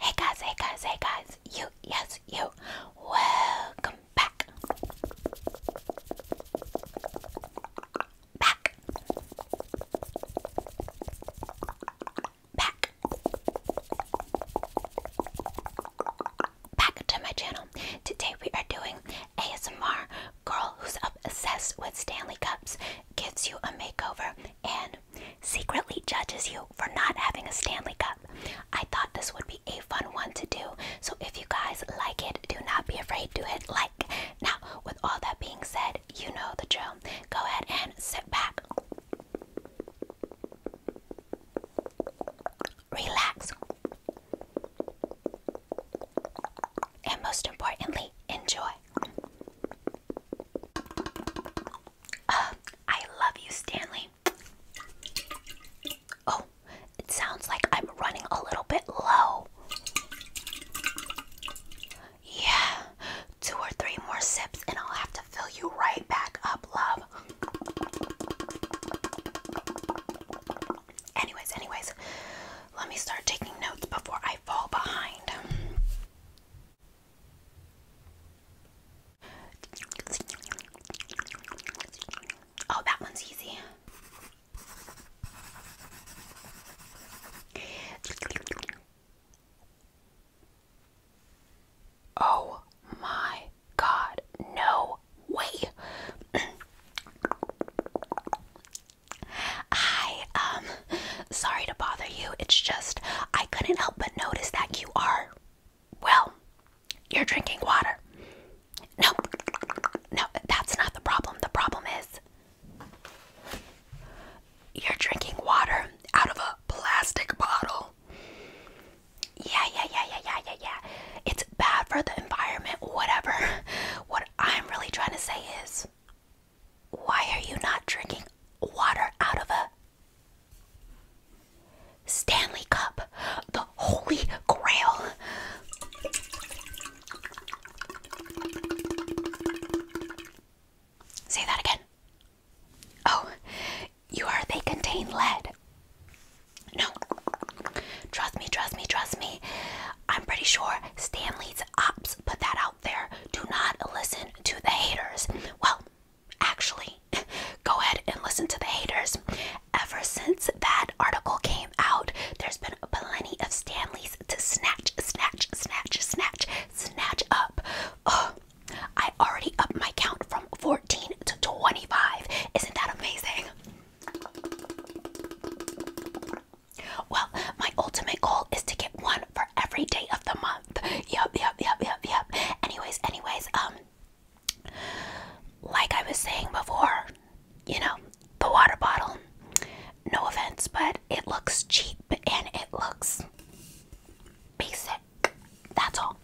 Hey guys, hey guys, hey guys, you, yes, you, welcome back. Back. Back. Back to my channel. Today we are doing ASMR Girl Who's Obsessed with Stanley Cups Gives You a Makeover and secretly judges you for not having a Stanley Cup. I thought this would be a fun one to do, so if you guys like it, do not be afraid to hit like. Now, with all that being said, you know the drill. Go ahead and sit back, relax, and most importantly, enjoy. Uh, I love you, Stanley. Oh, it sounds like I'm running a little bit low. Yeah, two or three more sips, and I'll have to fill you right back up, love. Anyways, anyways, let me start taking notes before I fall behind. Oh, that one's easy. Oh my god, no way. Hi, um, sorry to bother you. It's just I couldn't help but notice that you are, well, you're drinking water. No, no, that's not the problem. The problem is you're drinking water out of a plastic bottle. Yeah, yeah, yeah, yeah, yeah, yeah, yeah. It's bad for the environment, whatever. What I'm really trying to say is why are you not drinking water out of a Stanley Cup? The Holy Grail. Say that again. Oh, you are, they contain lead. No, trust me, trust me, trust me. I'm pretty sure Stanley's Ops put that out there, do not listen to the haters. Well, actually, go ahead and listen to the haters. Ever since that article came out, there's been plenty of Stanleys to snatch, snatch, snatch, snatch, snatch up. Oh, I already upped my count from 14 to 25. Isn't that amazing? Well, my ultimate goal is to get one for every day of the month month. Yup, yup, yup, yup, yup. Anyways, anyways, um, like I was saying before, you know, the water bottle. No offense, but it looks cheap and it looks basic. That's all.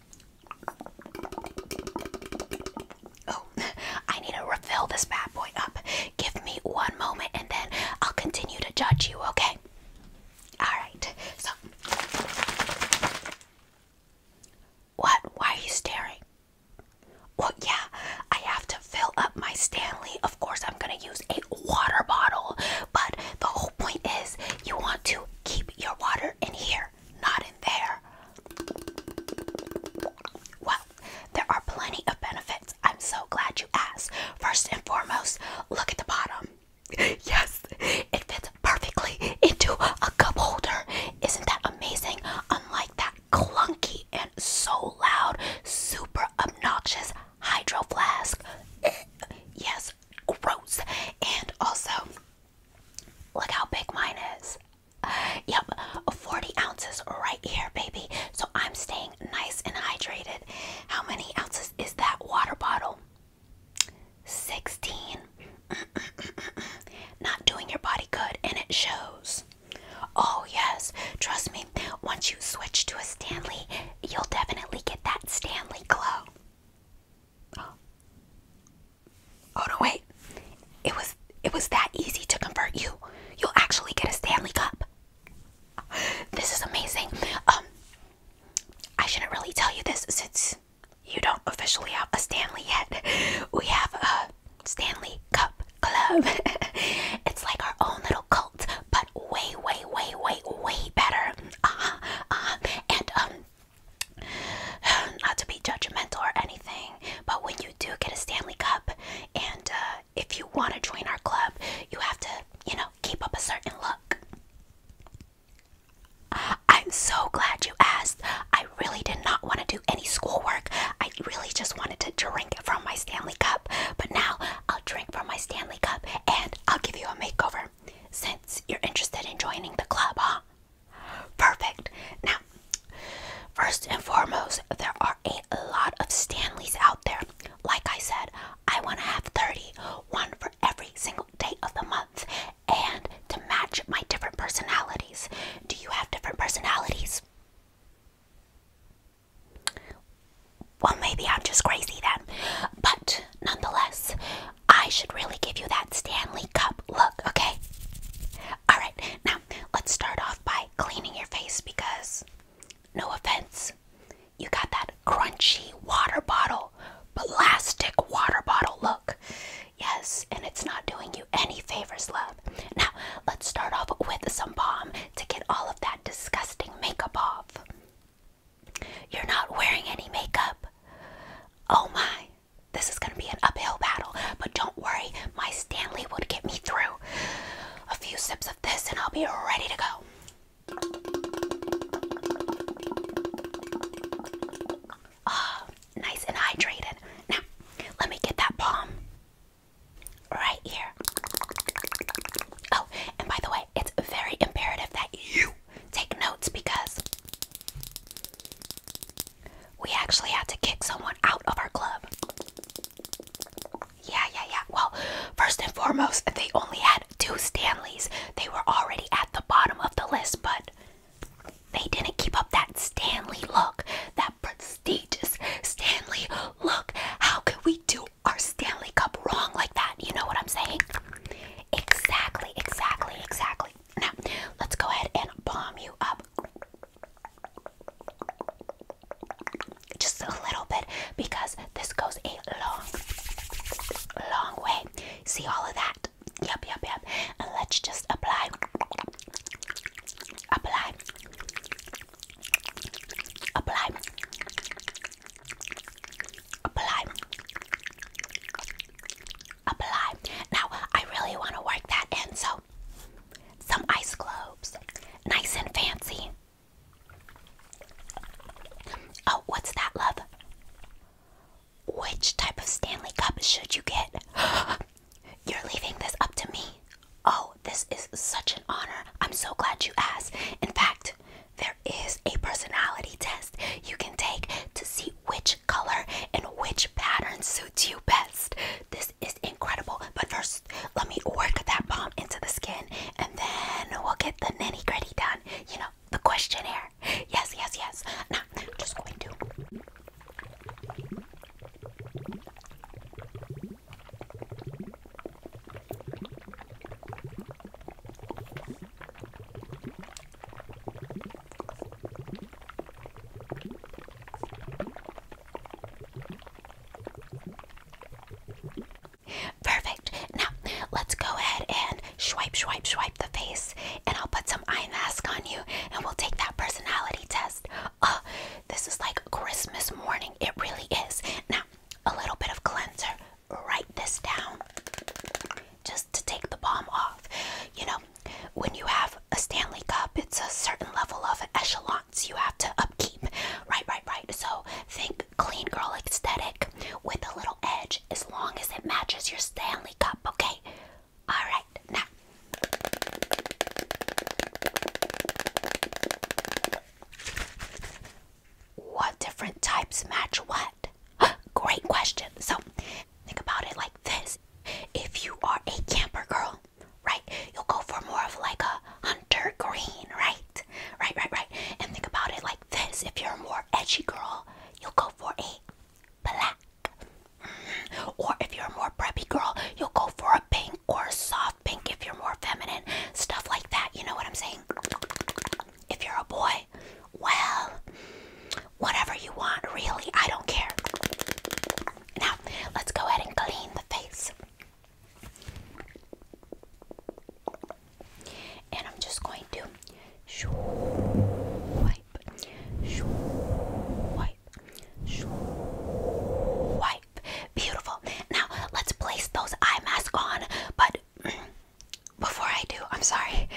Oh, I need to refill this bad boy up. Give me one moment and then I'll continue to judge you, okay? Alright, so. What? Why are you staring? Well, yeah, I have to fill up my Stanley. Of course, I'm gonna use a water bottle, but the whole point is you want to keep your water in here, not in there. Well, there are plenty of benefits. I'm so glad you asked. First and foremost, look at the bottom. yes, it fits perfectly into a cup holder. Isn't that amazing? Unlike that clunky and so loud, super obnoxious hydro flask. yes, gross. And also, look how big mine is. Yep, 40 ounces right here, baby. So I'm staying nice and hydrated. How many ounces is that water bottle? 16. Not doing your body good, and it shows. Oh, yes, trust me, once you switch to a Stanley, you'll definitely get that Stanley glow. Oh. oh no wait. It was it was that easy to convert you. You'll actually get a Stanley cup. This is amazing. Um I shouldn't really tell you this since you don't officially have a Stanley yet. We have a Stanley Cup Club. it's like our own little cult, but way, way, way, way, way better. Uh -huh, uh-huh. And um, not to be judgmental or anything, but when you do get a Stanley Cup, and uh, if you want to join our club, you have to, you know, keep up a certain look. I'm so glad you asked. I really did not want to do any schoolwork. I really just wanted to drink from my Stanley cup. But now I'll drink from my Stanley cup and I'll give you a makeover since you're interested in joining the club, huh? Perfect. Now, first and foremost, there are a lot of Stanleys out there. Like I said, I want to have 30, one every single day of the month and to match my different personalities. Do you have different personalities? Well, maybe I'm just crazy then. But nonetheless, I should really give you that Stanley Cup look, okay? Alright, now let's start off by cleaning your face because, no offense, you got that crunchy water bottle, plastic water bottle look. Yes, and it's not doing you any favors, love. Now, let's start off with some balm to get all of that disgusting makeup off. You're not wearing any makeup. Oh my, this is going to be an uphill battle, but don't worry, my Stanley would get me through. A few sips of this, and I'll be ready to go. Ah, nice and hydrated. Now, let me get that palm right here. Oh, and by the way, it's very imperative that you take notes because we actually had to kick someone out of our club. Yeah, yeah, yeah. Well, first and foremost, they only had two Stanleys. They were already at the bottom of the list, but they didn't keep up that Stanley look, that prestigious Stanley look. How could we do our Stanley Cup wrong like that? You know what I'm saying? Exactly, exactly, exactly. Now, let's go ahead and bomb you up just a little bit because this goes a long, long way. See all of that? Yep, yep, yep. And let's just apply. Apply. Apply. Apply. Apply. Now, I really want to work that in, so some ice cubes, Nice and fancy. Oh, what's that, love? Which type of Stanley Cup should you get? You're leaving this up to me. Oh, this is such an honor. I'm so glad you asked. In fact, there is a personality test you can take to see which color and which pattern suits you best. This is incredible. But first, let me work that bomb into the skin and then we'll get the nitty gritty done. You know, the questionnaire. Yes, yes, yes. Now, just going to. Perfect. Now, let's go ahead and swipe, swipe, swipe the face, and I'll put some eye mask on you, and we'll take that personality test. Oh, this is like Christmas morning. It really is. Now, a little bit of cleanser. Write this down just to take the bomb off. You know, when you have a Stanley Cup, it's a certain level of echelons you have to upkeep. Right, right, right. So think clean girl aesthetic with a little edge as long as it matches your Stanley Cup, okay? Alright, now. What different types match what? Great question. So, think about it like this. If you are a camper girl, right, you'll go for more of like a hunter green, right? Right, right, right. And think about it like this. If you're a more edgy girl, you'll go for a black. Mm-hmm. Or if you're a more preppy girl, you'll go for a pink or a soft pink if you're more feminine. Stuff like that. You know what I'm saying? If you're a boy, well, whatever you want, really. I don't care. Now, let's go ahead and clean the face. And I'm just going to swipe, swipe, swipe. Beautiful. Now let's place those eye masks on. But before I do, I'm sorry.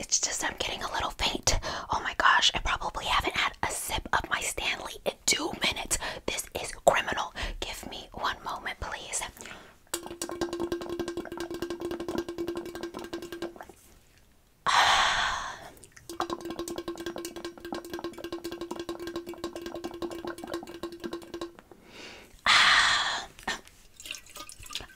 It's just I'm getting a little faint. Oh my gosh, I probably haven't had a sip of my Stanley in two minutes. This is criminal. Give me one moment, please. Ah. Ah.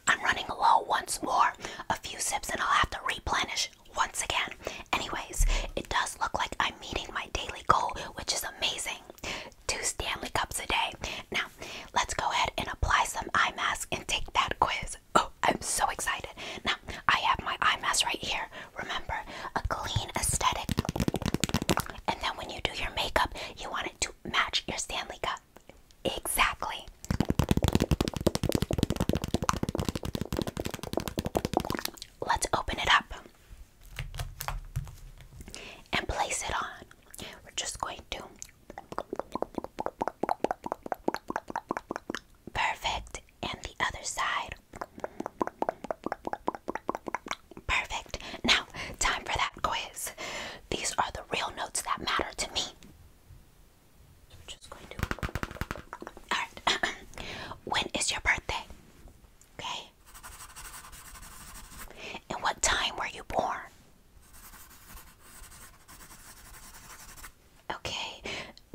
I'm running low once more. A few sips and I'll have to replenish once again. Anyways, it does look like I'm meeting my daily goal, which is amazing two Stanley Cups a day. Now, let's go ahead and apply some eye mask and take that quiz. Oh, I'm so excited. Now, I have my eye mask right here. Remember, a clean aesthetic. And then when you do your makeup, you want it to match your Stanley Cup. Exactly. Let's open it up and place it on. We're just going to Perfect. And the other side. Perfect. Now, time for that quiz. These are the real notes that matter to me. just going to. Alright. when is your birthday? Okay. And what time were you born? Okay.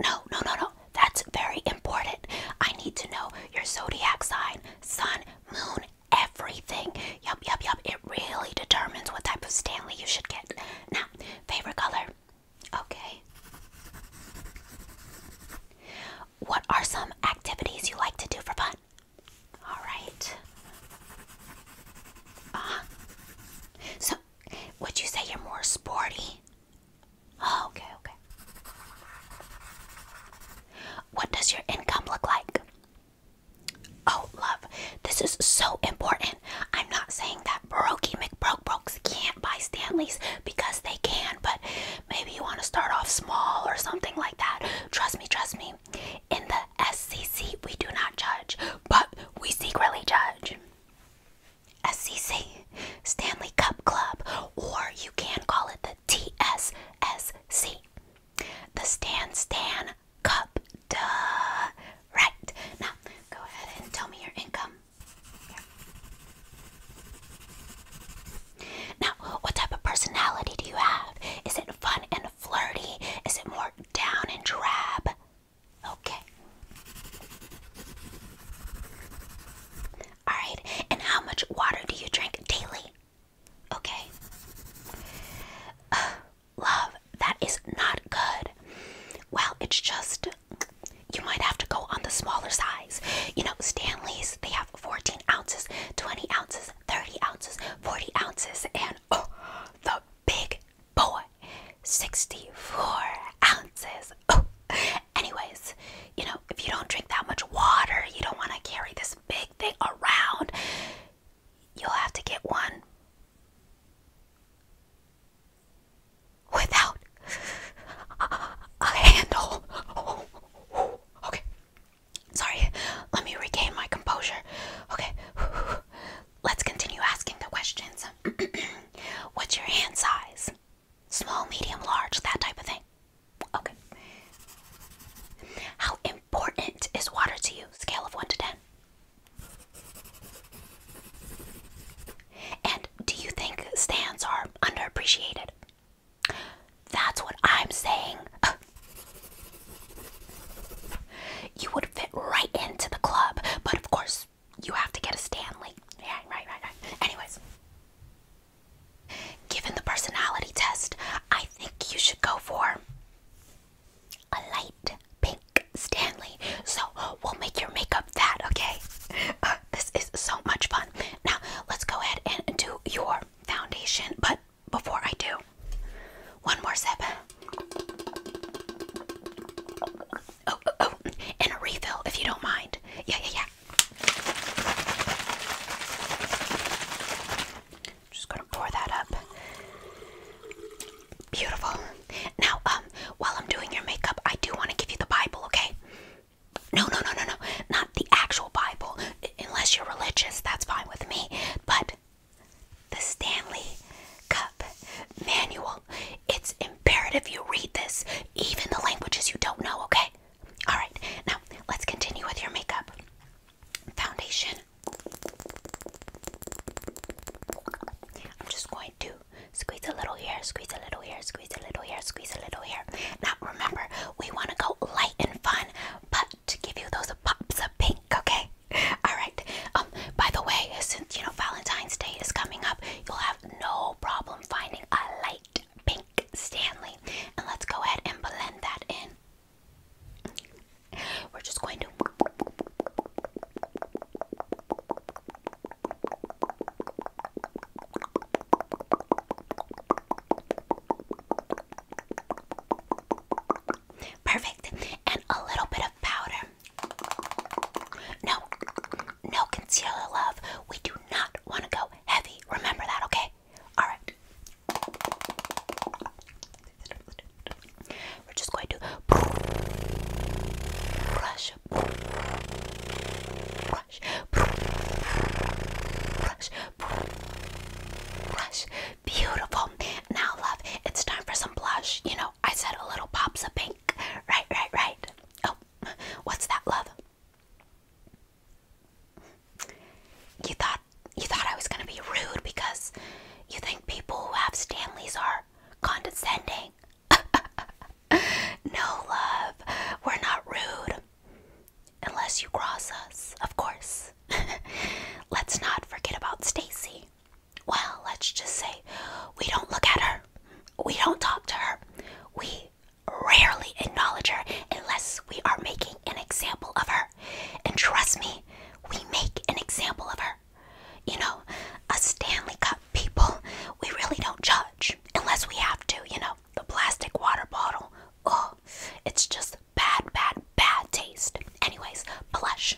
No, no, no, no. That's very important. I need to know your zodiac sign, sun, moon, everything. Yup, yup, yup. It really determines what type of Stanley you should get. Now, favorite color. Okay. What are some activities you like to do for fun? All right. Uh So, would you say you're more sporty? Oh, okay, okay. What does your income look like? Oh, love, this is so important. I'm not saying that Brokey McBrokebrokes can't buy Stanleys because they can, but maybe you want to start off small or something like that. Trust me, trust me. In the SCC, we do not judge, but we secretly judge. SCC, Stanley Cup Club, or you can call it the TSSC, the Stan Stan Cup. Duh. Right. Now, go ahead and tell me your income. Now, what type of personality do you have? Is it fun and flirty? Is it more down and drab. Okay. Alright, and how much water do you drink daily? Okay. love, that is not good. Well, it's just you might have to go on the smaller size. You know, Stanley's, they have 14 ounces, 20 ounces, 30 ounces, 40 ounces, and oh, the big boy 64 ounces oh. anyways you know if you don't drink that much water you don't want to carry this big thing around you'll have to get one without a handle okay sorry let me regain my composure okay let's continue asking the questions. What's your hand size? Small, medium, large, that type of thing. Okay. How important is water to you? Scale of 1 to 10. And do you think stands are underappreciated? That's what I'm saying. Uh, you would fit right into the club, but of course, you have to get a Stanley. Yeah, right, right, right. Anyways, given the personality test, I think you should go for a light pink Stanley. So we'll make your makeup that, okay? Uh, this is so much fun. Now, let's go ahead and do your foundation, but before I do, one more sip. Oh, oh, oh, and a refill if you don't mind. Yeah, yeah, yeah. Just gonna pour that up. Beautiful. Now, um, while I'm doing your makeup, I do want to give you the Bible, okay? No, no, no, no, no. Not the actual Bible. Unless you're religious, that's fine with me. But the Stanley Cup Manual. It's imperative you read this, even the languages you don't know, okay? Alright, now let's continue with your makeup. Foundation. I'm just going to squeeze a little here, squeeze a little here, squeeze a little here, squeeze a little here. Now remember, we want to go light and fun, but to give you those pops of pink, okay? All right. Um by the way, since you know Valentine's Day is coming up, you'll have no problem finding a light pink Stanley. And let's go ahead and blend that in. We're just going to Perfect. And a little bit of powder. No, no concealer, love. We do not want to go heavy. Remember that, okay? Alright. We're just going to brush, brush, brush, brush. Beautiful. Now, love, it's time for some blush. You know, I said a little pops of pink. Right, right, right. Oh, what's that, love? You thought you thought I was gonna be rude because you think people who have Stanleys are condescending. no, love, we're not rude. Unless you cross us, of course. Let's not forget about Stacy well, let's just say we don't look at her, we don't talk to her, we rarely acknowledge her unless we are making an example of her. And trust me, we make an example of her. You know, us Stanley Cup people, we really don't judge unless we have to, you know, the plastic water bottle. Oh, it's just bad, bad, bad taste. Anyways, blush.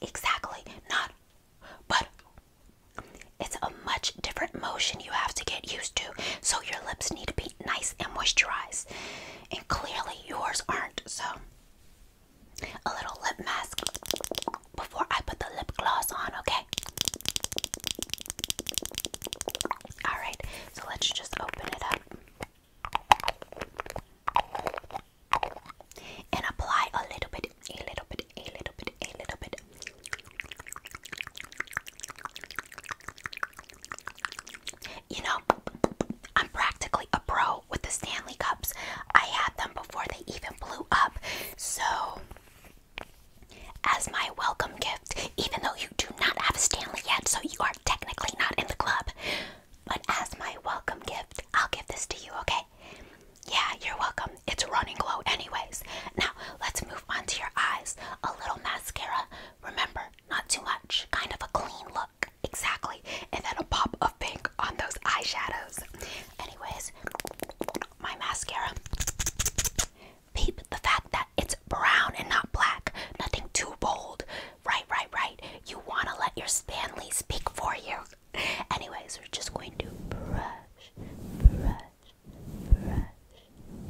Exactly, not, but it's a much different motion you have to get used to. So your lips need to be nice and moisturized. And clearly yours aren't. So a little lip mask before I put the lip gloss on, okay? Alright, so let's just open it up and apply a little bit, a little bit, a little bit, a little bit. You know, I'm practically a pro with the Stanley Cups. I had them before they even blew up. So, as my welcome gift, even though you do not have a Stanley yet, so you are technically not in the club, but as my welcome gift, I'll give this to you, okay? Yeah, you're welcome. It's running low, anyways. Now, let's move on to your eyes. A little mascara. Remember, not too much. Kind of a clean look. Exactly. And then a pop of pink on those eyeshadows. Anyways, my mascara. Peep the fact that it's brown and not black. Nothing too bold. Right, right, right. You want to let your Spanley speak for you. Anyways, we're just going to brush,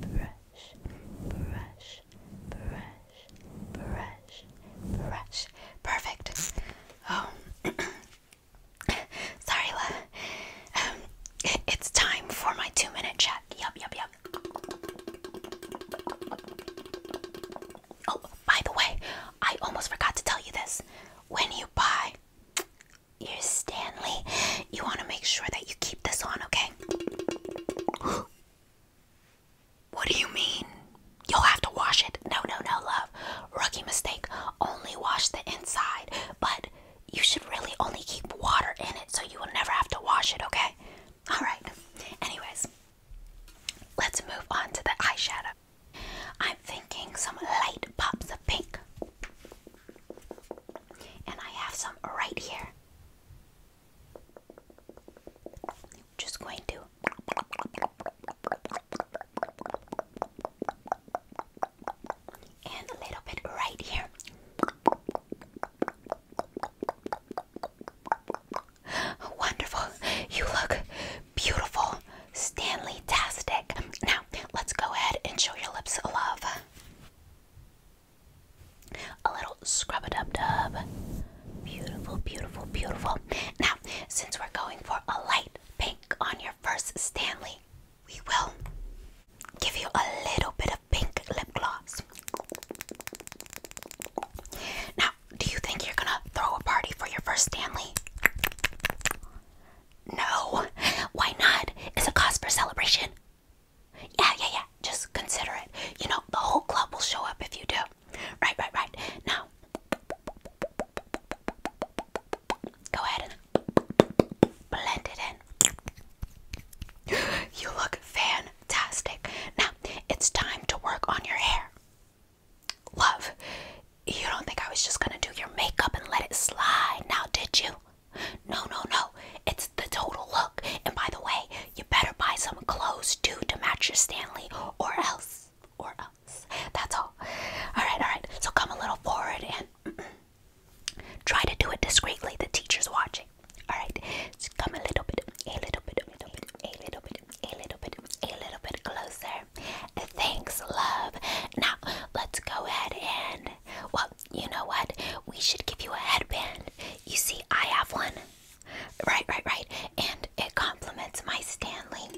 brush, brush, brush, brush, brush, brush, brush. Perfect. Oh. Sorry, La. Um, it's time for my two minute check. Yup, yup, yup. Oh, by the way, I almost forgot to tell you this. When you buy your Stanley, you want to make sure that you keep this on, okay? What do you mean? You'll have to wash it. No, no, no, love. Rookie mistake. Only wash the inside, but you should really only keep water in it so you will never have to wash it, okay? Alright. Anyways. Let's move on to the eyeshadow. I'm thinking some light pops of pink. And I have some right here. Just going to. And a little bit right here. Wonderful. You look beautiful. Stanley Tastic. Now, let's go ahead and show your lips love. A little scrub a dub dub. Beautiful, beautiful, beautiful. Now, since we're going for a light pink on your first Stanley, we will give you a little bit of pink lip gloss. Now, do you think you're gonna throw a party for your first Stanley? No. Why not? It's a cause for celebration. Yeah, yeah, yeah. Just consider it. You know, the whole club will show up if you do. Right, right, right. Now, go ahead and blend it in. You look fantastic. Now, it's time to work on your hair. Love, you don't think I was just gonna do your makeup and let it slide now, did you? No, no, no. It's the total look. And by the way, you better buy some clothes too to match your Stanley or else. Or else. That's all. Alright, alright. So come a little forward and try to do it discreetly. The teacher's watching. Alright. So come a little bit, a little bit, a little bit, a little bit, a little bit, a little bit closer. Thanks, love. Now let's go ahead and well, you know what? We should give you a headband. You see, I have one. Right, right, right. And it complements my Stanley.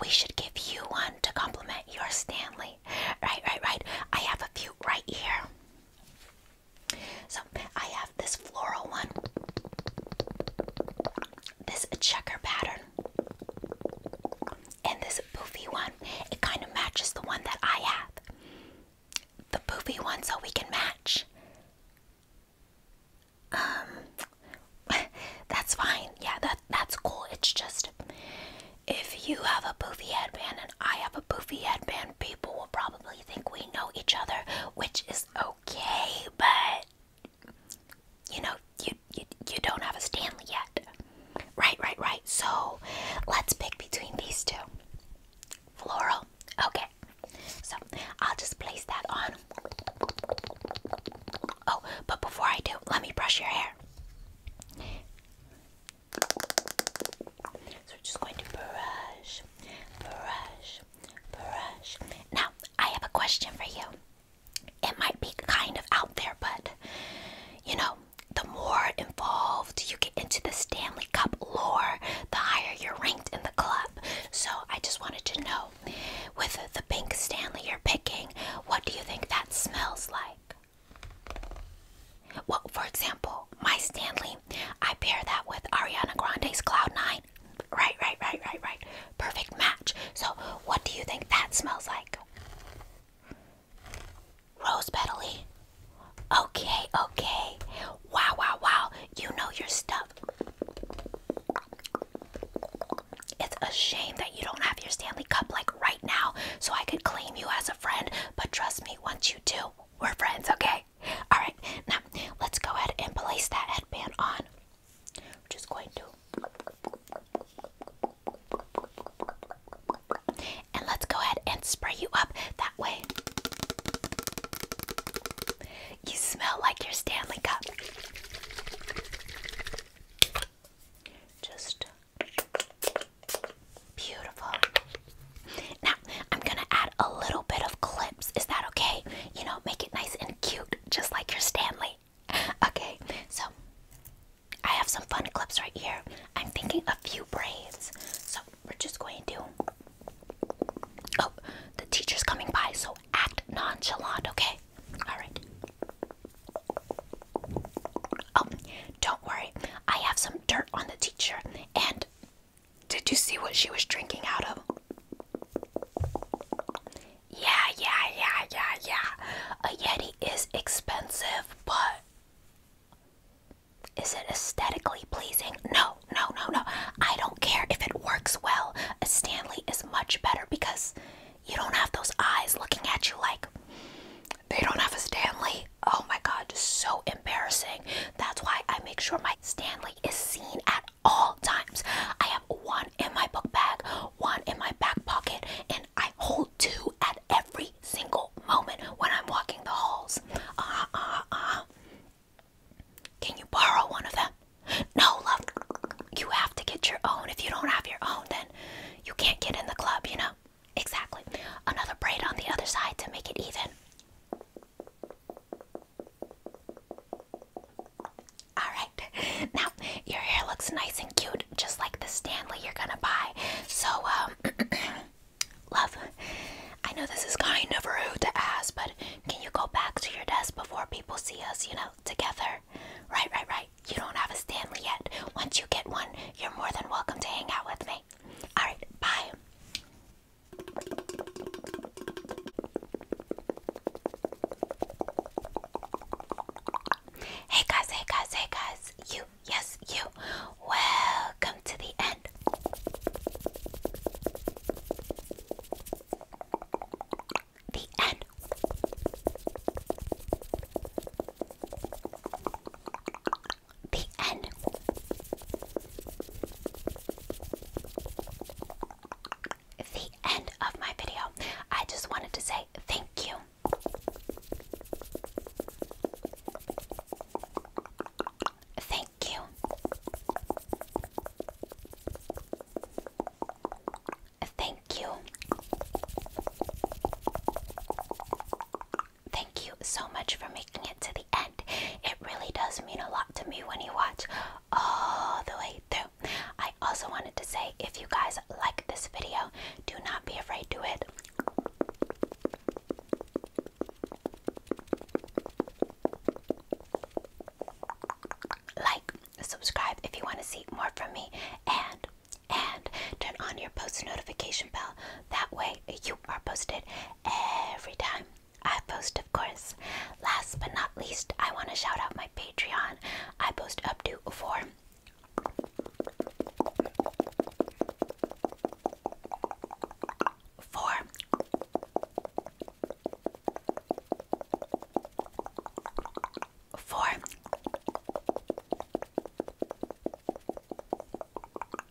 We should give you one to complement your Stanley. Right, right, right. I have a few right here. So I have this floral one, this checker pattern, and this poofy one. It kind of matches the one that I have. The poofy one, so we can match. Um, that's fine. Yeah, that that's cool. It's just if you have a poofy headband and I have a poofy headband, people will probably think we know each other, which is okay, but you know, you, you you don't have a Stanley yet. Right, right, right. So let's pick between these two. Floral. Okay. So I'll just place that on. Oh, but before I do, let me brush your hair. So we're just going to brush, brush, brush. Now, I have a question for you. It might be kind of out there, but you know, the more involved you get into the Stanley Cup lore, the higher you're ranked in the club. So I just wanted to know with the pink Stanley you're picking, what do you think that smells like? Well, for example, my Stanley, I pair that with Ariana Grande's Cloud Nine. Right, right, right, right, right. Perfect match. So, what do you think that smells like? Rose petally. Okay, okay. Wow, wow, wow. You know your stuff. It's a shame that you don't have your Stanley Cup like right now so I could claim you as a friend, but trust me, once you do, we're friends, okay? All right. Now let's go ahead and place that headband on. I'm just going to. And let's go ahead and spray you up that way. You smell like your Stanley Cup. Just Beautiful. Now, I'm gonna add a little bit of clips. Is that okay? You know, make it nice and cute, just like your Stanley. Okay, so I have some fun clips right here. I'm thinking a few braids. So we're just going to. Oh, the teacher's coming by, so act nonchalant, okay? Alright. Oh, don't worry. I have some dirt on the teacher and did you see what she was drinking out of? Yeah, yeah, yeah, yeah, yeah. A Yeti is expensive, but is it aesthetically pleasing? No, no, no, no. I don't care if it works well. A Stanley is much better because you don't have those eyes looking at you like they don't have a Stanley. Oh my god, so embarrassing. That's why I make sure my Stanley is seen at all times. I have one in my book bag, one in my back pocket, and I hold two at every single moment when I'm walking the halls. Uh, uh, uh. Can you borrow one of them? No, love. You have to get your own. If you don't have your own, then you can't get in the club, you know? Exactly. Another braid on the other side to make it even. Alright, now your hair looks nice and cute, just like the Stanley you're gonna buy. So, um, love, I know this is kind of rude to ask, but can you go back to your desk before people see us, you know, together? Right, right, right. You don't have a Stanley yet. Once you get one, you're more than welcome to hang out with me. Alright, bye. Hey guys, hey guys, hey guys, you, yes, you, welcome to the end. The end. The end. The end of my video. I just wanted to say thank you. Thank you. Thank you. Thank you so much for making it to the It really does mean a lot to me when you watch all the way through. I also wanted to say if you guys like this video, do not be afraid to it. Like, subscribe if you want to see more from me, and and turn on your post notification bell. That way you are posted every time I post, of course. Last but not least, I want to shout out my Patreon. I post up to four